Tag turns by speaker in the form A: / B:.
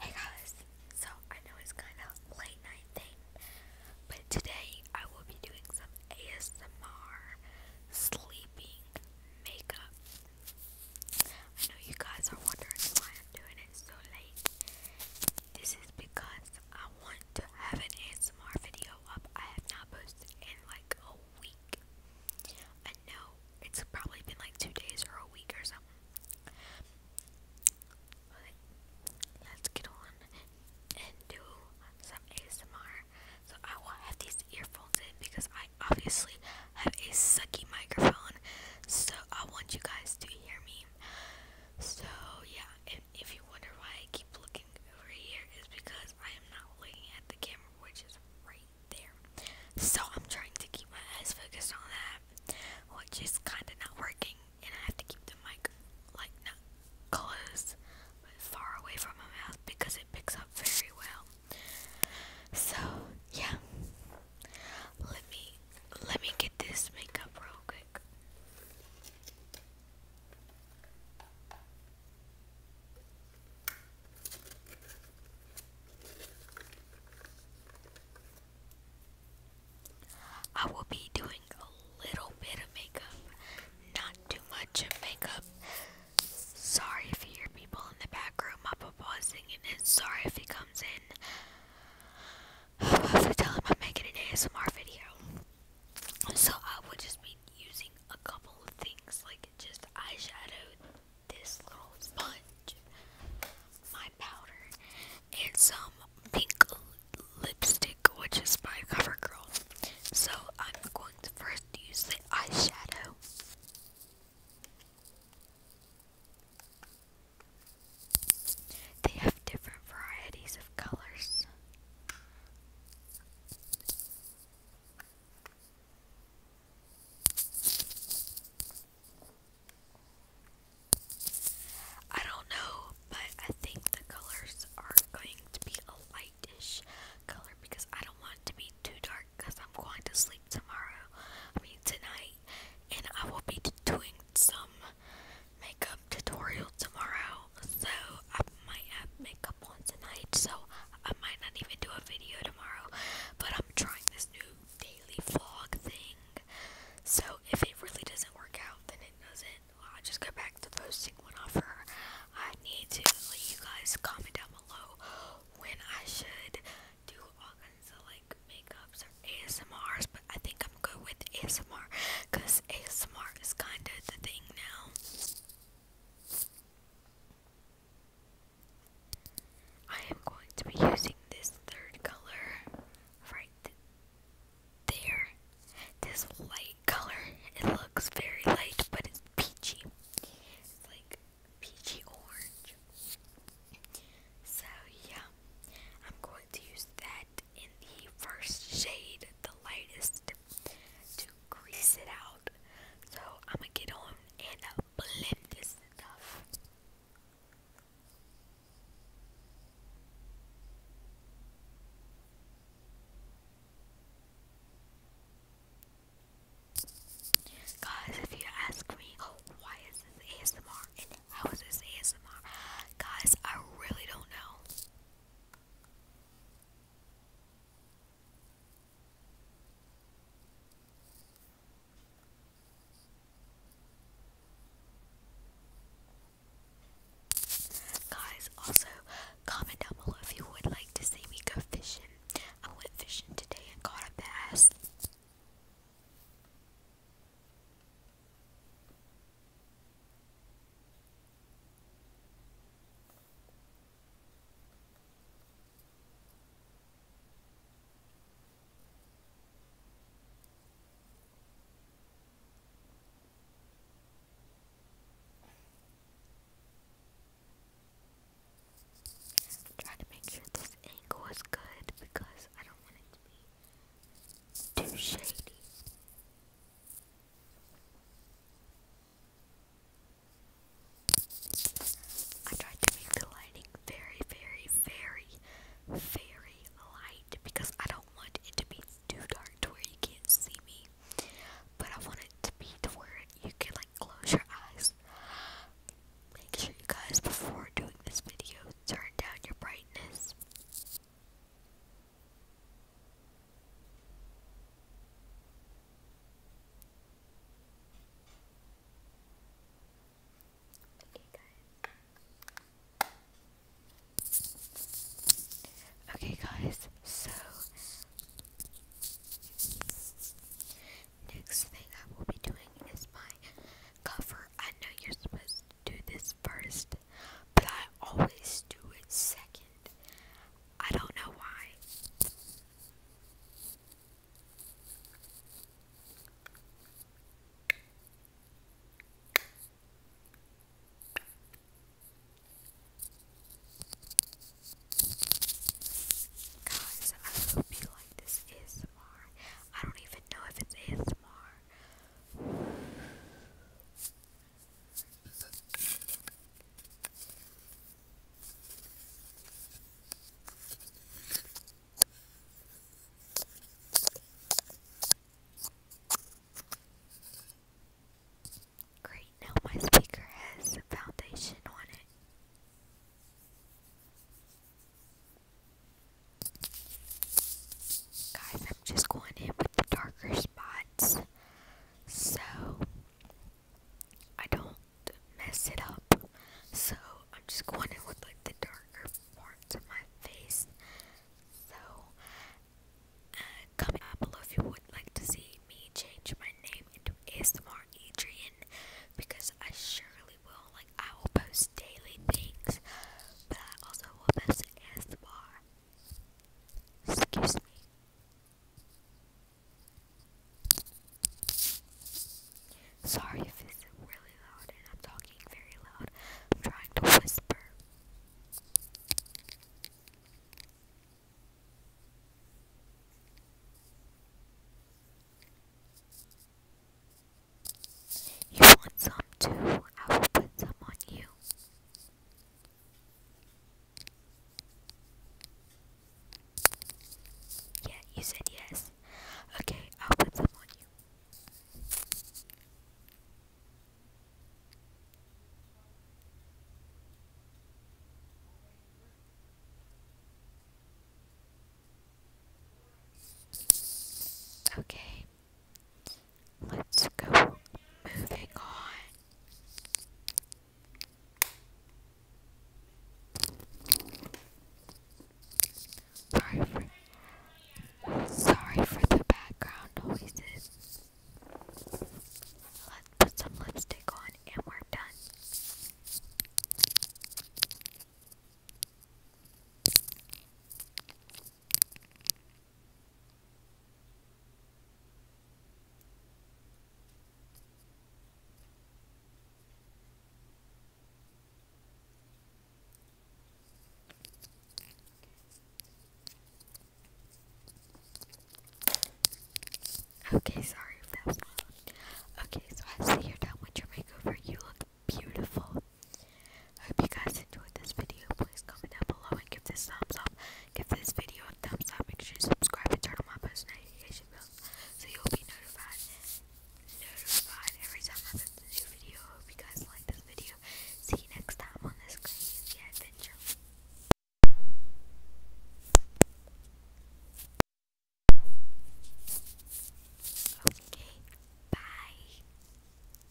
A: Hey guys, so I know it's kind of late night thing, but today I will be doing some ASMR sleeping makeup. I know you guys are wondering why I'm doing it so late. This is because I want to have an ASMR video up. I have not posted in like a week no, it's probably been like two days or a week or something. But let's get on and do some ASMR. So I will have these earphones in because I obviously have a sucky microphone. So I want you guys to hear me. So yeah, if, you wonder why I keep looking over here, it's because I am not looking at the camera, which is right there. So I'm trying to keep my eyes focused on that, It's just kind of not working, and I have to keep the mic like not close but far away from my mouth because it picks up very well. So yeah, let me let me get this makeup real quick. I will be doing a little bit of makeup, not too much makeup. Sorry if you hear people in the back room. My papa and sorry if he comes in. I have tell him I'm making an ASMR video. So I will just be using a couple of things like just eyeshadow, this little sponge, my powder, and some pink lipstick, which is by CoverGirl. So I'm going to first use the eyeshadow. They have different varieties of colors. I don't know, but I think the colors are going to be a lightish color because I don't want it to be too dark because I'm going to sleep tomorrow. I mean, tonight. And I will be doing some makeup tutorial tomorrow, so I might have makeup once a night, so I might not even do a video tomorrow. But I'm trying this new daily vlog thing. So if it really doesn't work out, then it doesn't. I'll just go back to posting one offer. I need to let you guys comment down below when I should do all kinds of like makeups or ASMRs, but I think I'm good with ASMR because ASMR is kind of the thing now. I am going to be using this third color right there. This light color. It looks very light, but it's peachy. like peachy orange. So, yeah. I'm going to use that in the first shade, the lightest, to grease it out. So I'm gonna get on and uh, blend this stuff. Guys, if you ask me, why is this ASMR and how is this ASMR? Guys, I really don't know. Guys, also comment down below if you would like to see me go fishing. I went fishing today and caught a bass. I'm to make sure this angle is good because I don't want it to be too shady. I tried to make the lighting very, very, very, very light because I don't want it to be too dark where you can't see me. But I want it to be to where you can like close your eyes. Make sure you guys before doing this video turn down your brightness. Okay, guys. Okay, guys. So next thing I will be doing is my cover. I know you're supposed to do this first, but I always do it second. I don't know why. Guys, I hope you like this ASMR. I don't even know if it's ASMR. Great, now my speaker has foundation on it. Guys, I'm just going in with the darker spots so I don't mess it up. So I'm just going in with like the darker parts of my face. So uh, comment down below if you would like to see me change my name into ASMR Adrian because I surely will. Like I will post daily things, but I also will post ASMR Excuse me. Sorry if it's really loud and I'm talking very loud. I'm trying to whisper. You want some too? I will put some on you. Yeah, you said yes. Okay, I'll put some on you. Okay. Let's go moving on. Sorry for, sorry for the background noises. Let's put some lipstick on and we're done. Okay, sorry if that was loud. Okay, so I see you're done with your makeover. You look beautiful hope you guys enjoyed this video. Please comment down below and give this thumbs up. Give this video a thumbs up. Make sure you subscribe and turn on my post notification so you'll be notified notified every time I post a new video. I hope you guys like this video. See you next time on this crazy adventure. Okay, bye.